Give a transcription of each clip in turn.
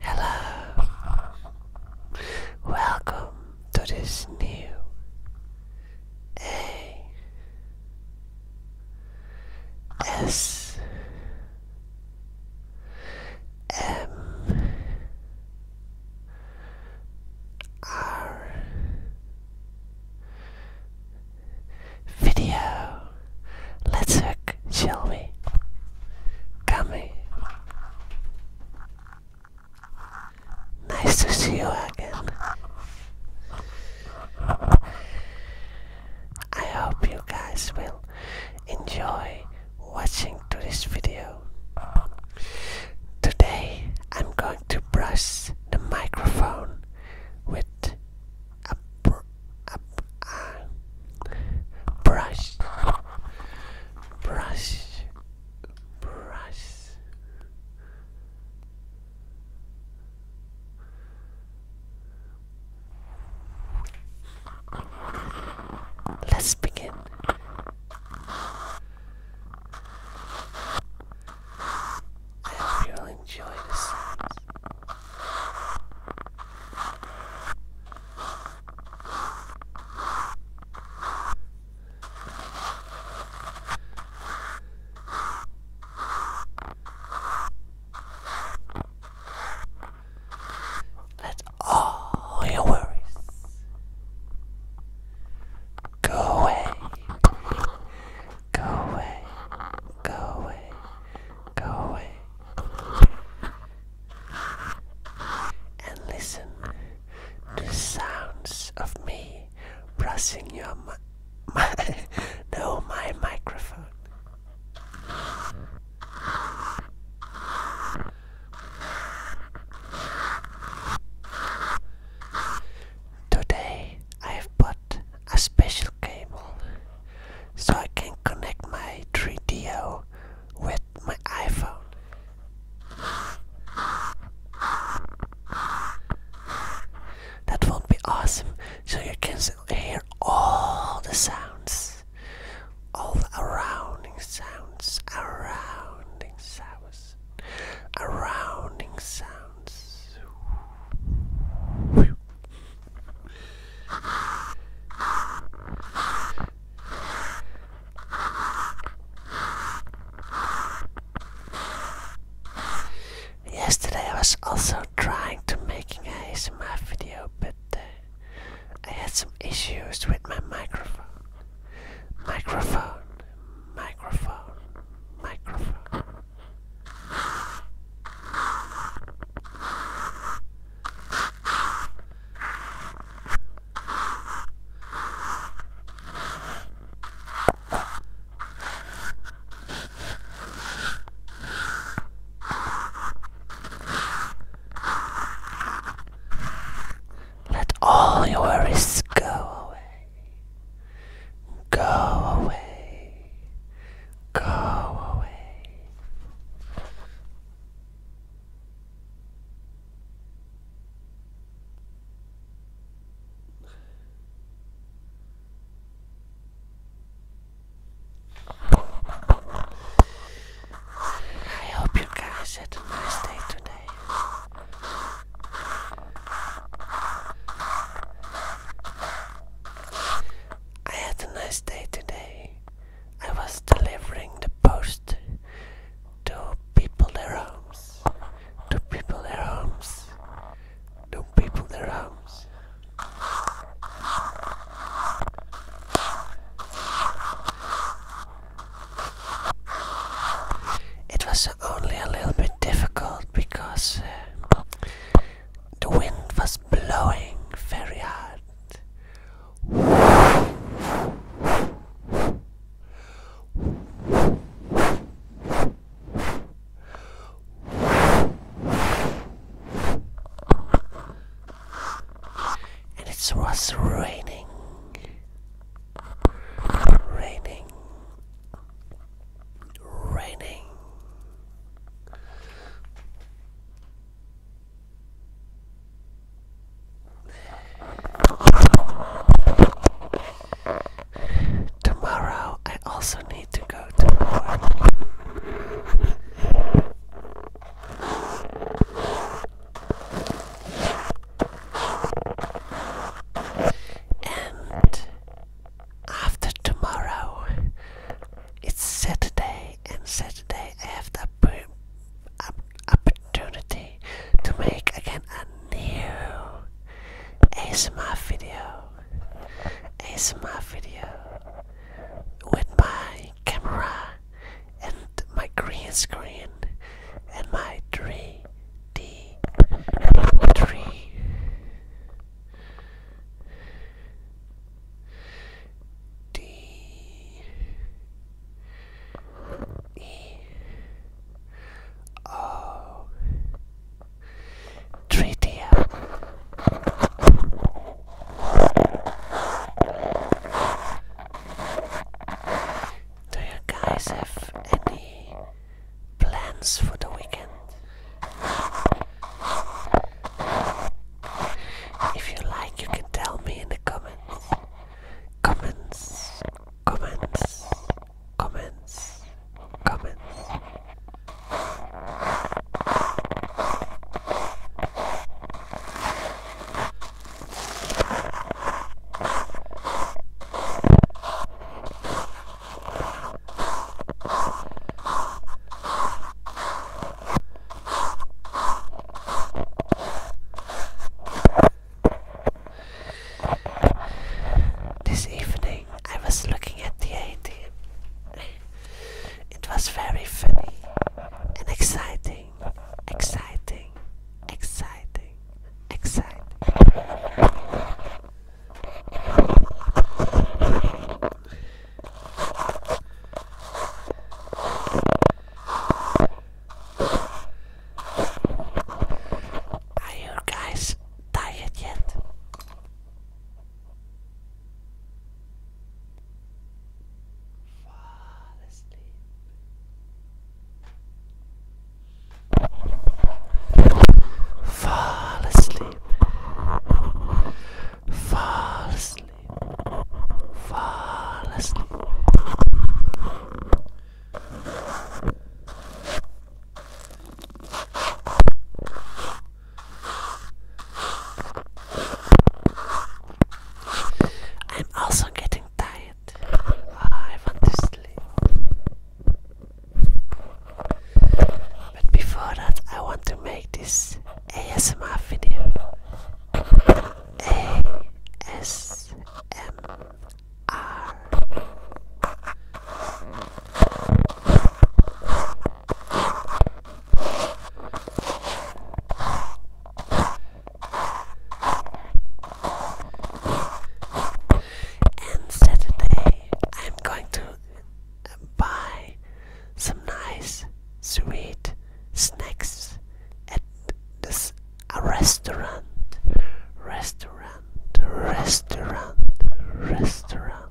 Hello. Welcome to this new A S M R video. Let's hook, shall we? Nice to see you again. I hope you guys will enjoy watching to this video. Today I'm going to brush the microphone with a, a, a brush, brush, brush. Let's begin. I hope you'll enjoy the let all your worries go away, go away, go away, go away. And listen to the sounds of me brushing your mi my no my microphone. Today I have bought a special cable so I can connect my 3DO with my iPhone. That won't be awesome, so you can hear all the sounds, all the surrounding sounds, surrounding sounds, surrounding sounds. Yesterday I was also trying to making a ASMR video, but uh, I had some issues with my microphone. Microphone, microphone, microphone. Let all your worries go away. Go away. Go away. I hope you guys had a nice day today. I had a nice day today. I was delivering the post to people their homes. To people their homes. To people their homes. It was only a little bit difficult because uh, the wind was blowing very hard. And it was raining, raining, raining. Tomorrow, I also need to go to work. And after tomorrow. It's Saturday, and Saturday I have the opportunity to make again a new ASMR video. ASMR video with my camera and my green screen and my 3D 3 D E O Tritia Do you guys have any plans for the weekend? If you like, you can tell me in the comments. Comments, comments, comments, comments. This evening I was looking at the a It was very funny and exciting, exciting, exciting, exciting. Are you guys tired yet? Fall asleep. Fall asleep. Fall asleep. Fall asleep. I'm also getting tired. I want to sleep. But before that, I want to make this ASMR video. ASMR. And Saturday, I'm going to buy some nice, sweet snacks at this restaurant. Restaurant, restaurant, restaurant.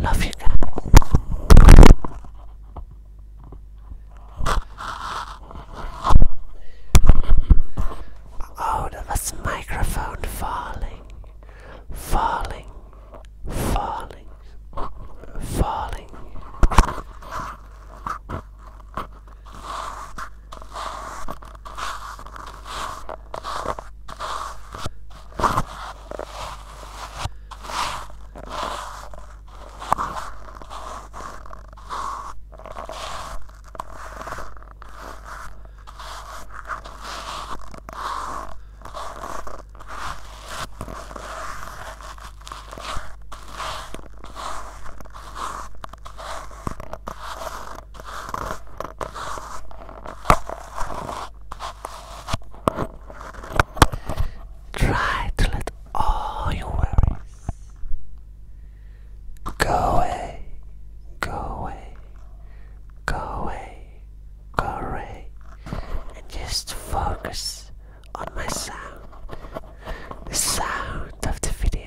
Love you Oh, that was the microphone falling falling, falling, falling. Try to let all your worries go away, go away. Go away, go away, and just focus on my sound, the sound of the video.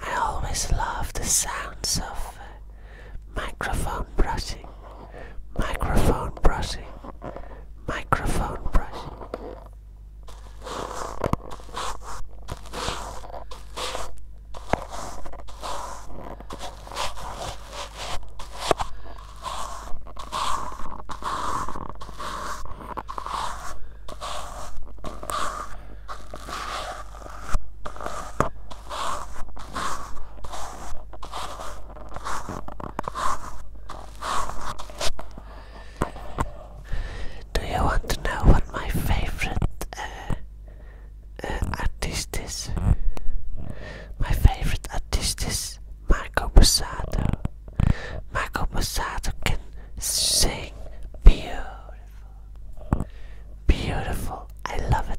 I always love the sounds of uh, microphone brushing, microphone brushing, microphone brushing. Do you want to know what my favorite uh, uh, artist is? My favorite artist is Marco Bussato. Michael Busato can sing beautiful. Beautiful. I love it.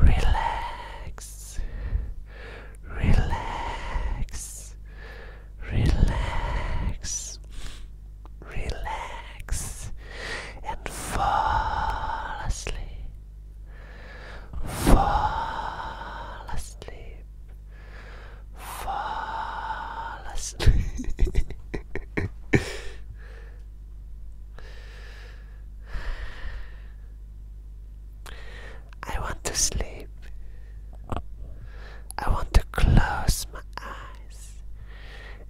Relax. Relax. Relax. Relax and fall asleep. Fall asleep fall asleep. I want to sleep. I want to close my eyes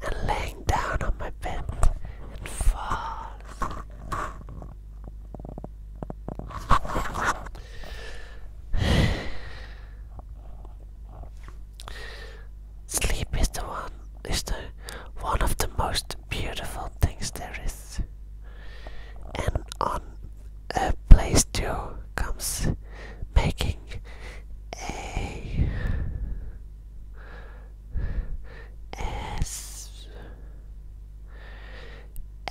and laying down on my bed and fall. Sleep is the one is the one of the most beautiful things there is. And on a place two comes making a S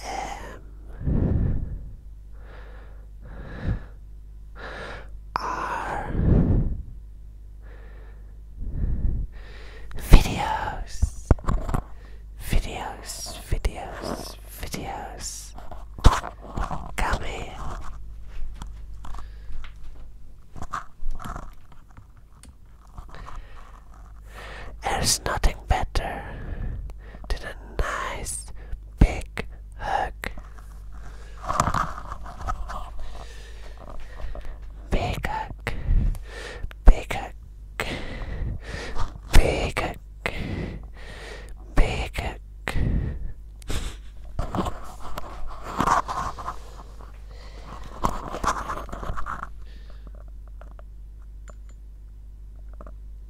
M are videos, videos, videos, videos coming. There's nothing better than a nice big hug. Big hug. Big hug. Big hug. Big hug.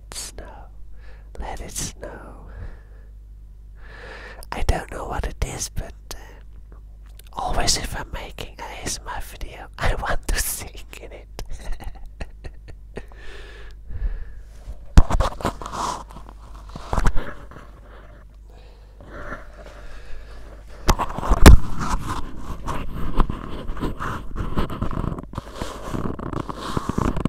it snow. Let it snow. I don't know what it is, but uh, always if I'm making a ASMR video, I want to sing in it.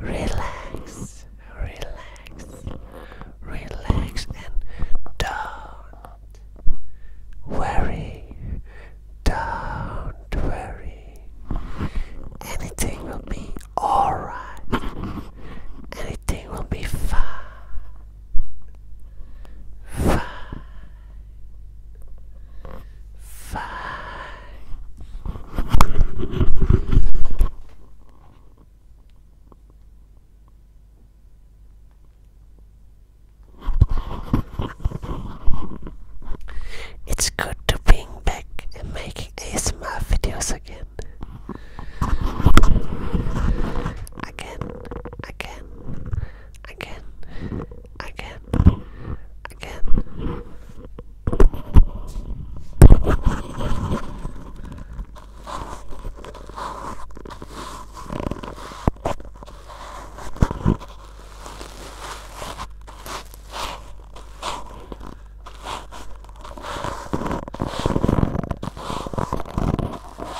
Relax, relax, relax, and don't worry, don't worry. Anything will be alright, anything will be fine five, five. It's good to be back and making ASMR videos again. Again, again, I can. I can.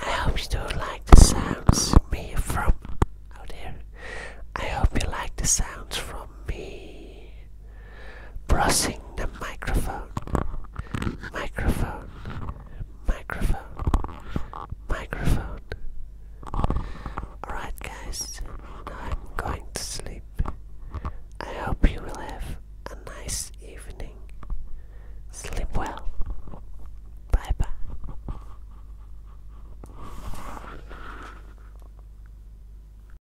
I hope you like the sounds me from out there. I hope you like the sounds from me Pressing the microphone. Microphone. Microphone. Microphone. Alright, guys, I'm going to sleep. I hope you will have a nice evening. Sleep well. Bye bye.